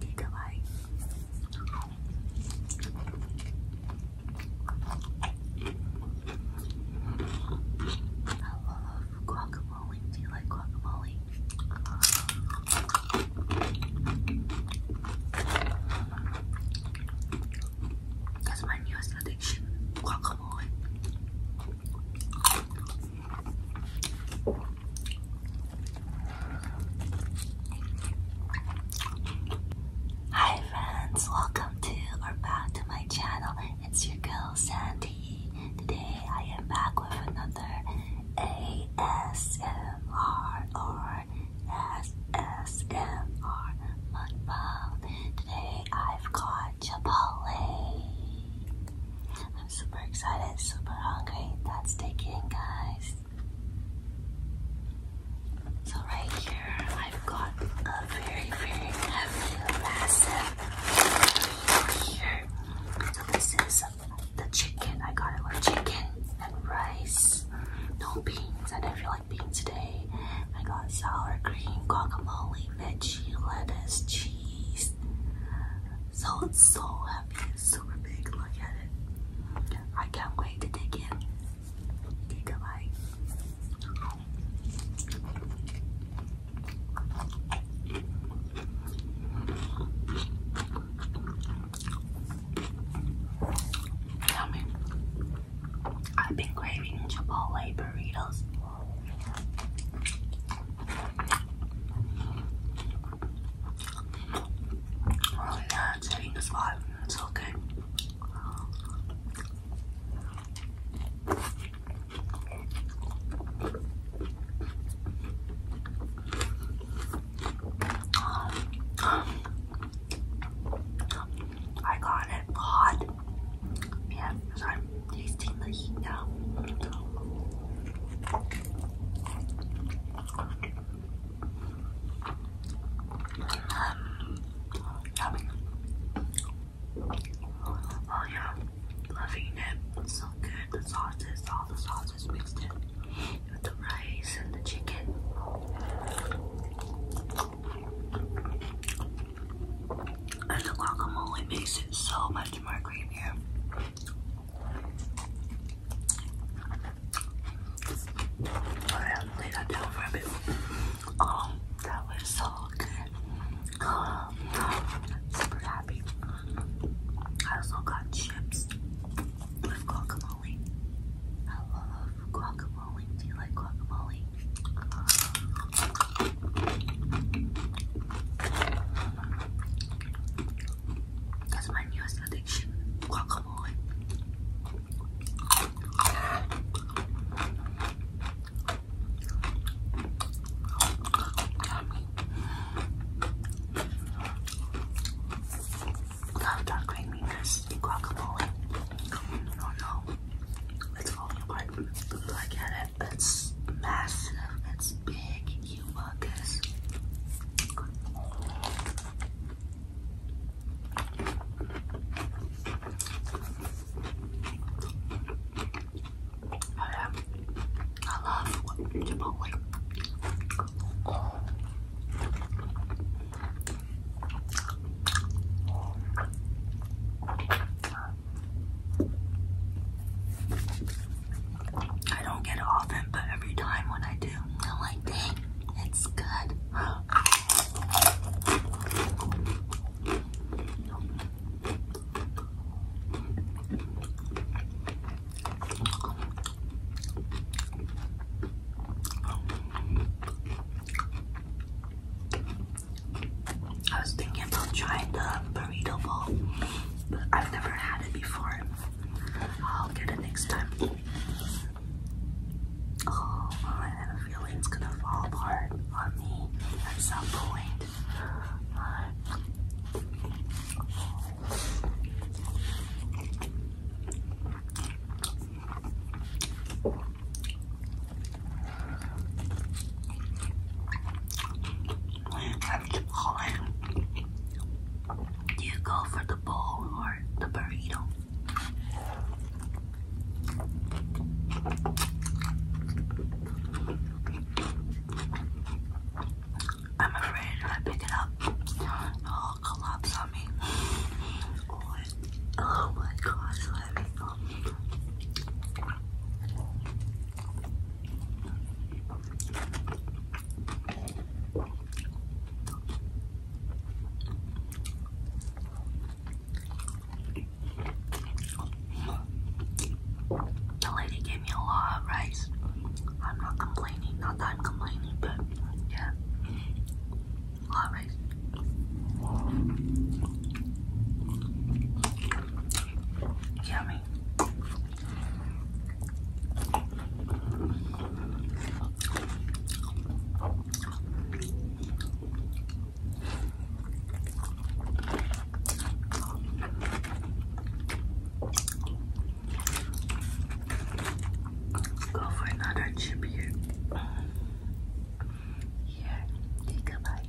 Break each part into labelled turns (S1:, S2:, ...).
S1: take I love guacamole. Do you like guacamole? That's my newest addiction, guacamole. Hi friends, welcome to or back to my channel. It's your girl Sandy. Today I am back with another ASMR or SSMR mukbang. Today I've got Chipotle. I'm super excited, super hungry. That's taking, guys. So right here, I've got a very, very heavy massive here. So this is the chicken. I got it with chicken and rice. No beans. I didn't feel like beans today. I got sour cream, guacamole, veggie, lettuce, cheese. So it's so heavy super big. Look at it. I can't wait to dig in. Take a bite. Tell I've been craving Chipotle burritos. Oh yeah, it's hitting the spot. It's okay. I got it hot. Yeah, because I'm tasting the heat now. Um, oh yeah, loving it. so good. The sauces, all the sauces mixed in with the rice and the chicken. And the guacamole makes it so much more creamier. I lay that down for a bit. Um, that was so good. Um, super happy. I also got chips with guacamole. I love guacamole. Do you like guacamole? That's my newest addiction, guacamole. Love dark creaminess in guacamole. No, it's falling apart. look at it. It's massive. It's big you oh, workers. I, love Chipotle. I don't get it often, but every time when I do, I'm like, dang, it's good. I was thinking about trying the burrito bowl, but I've never had it before. I'll get it next time. Oh, I have a feeling it's gonna fall apart on me at some point. Have the ball. Do you go for the bowl or the burrito? I'm afraid if I pick it up, it'll collapse on me. Oh my, God. The lady gave me a lot of rice. I'm not complaining, not that I'm complaining, but yeah. A lot of rice. Yummy. Go for another chip here. Here, take a bite.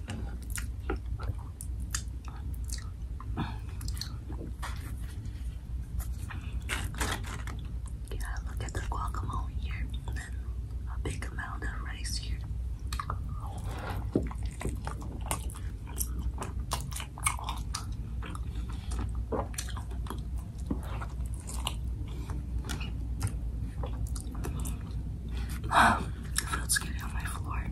S1: Yeah, look at the guacamole here, and a big amount of rice here. Fruit's getting on my floor.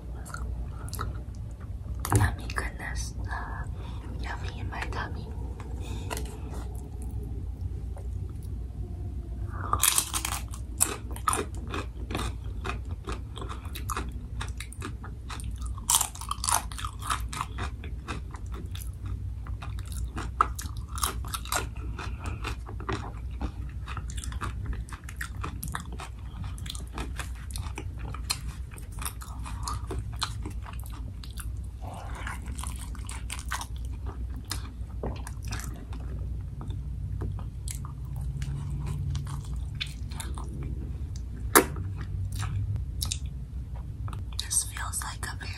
S1: Yummy goodness. Uh, yummy in my tummy. This feels like a very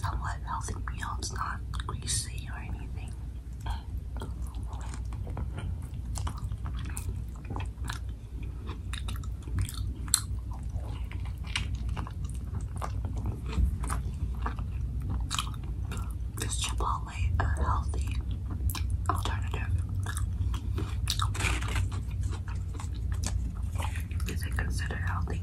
S1: somewhat healthy meal. It's not greasy or anything. Is Chipotle a healthy alternative? Is it considered healthy?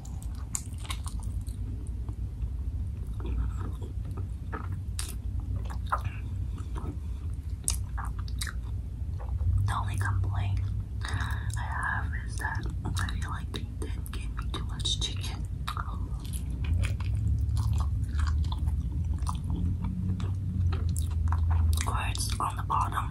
S1: The only complaint I have is that I feel like they did me too much chicken. Cards on the bottom.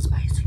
S1: Spicy.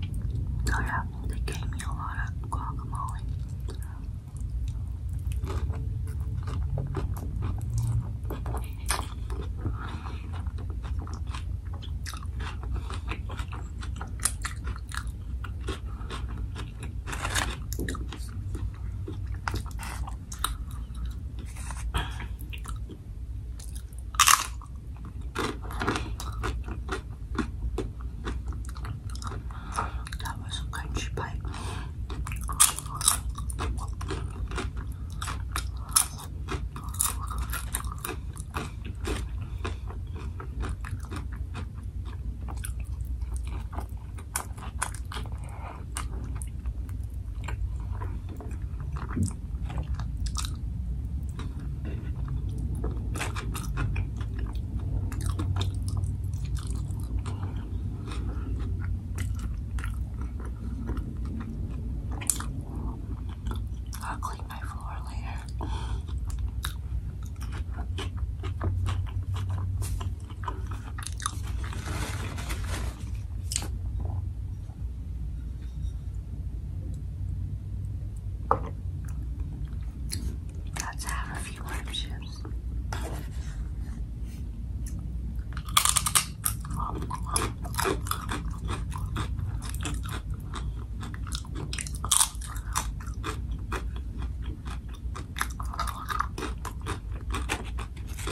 S1: Oh yeah, they gave me a lot of guacamole. That was a crunchy bite. I'll clean my floor later. Let's have a few more chips.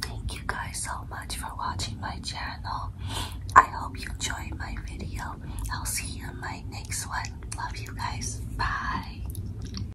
S1: Thank you guys so much for watching my channel. I hope you enjoyed my video. I'll see you in my next one. Love you guys. Bye.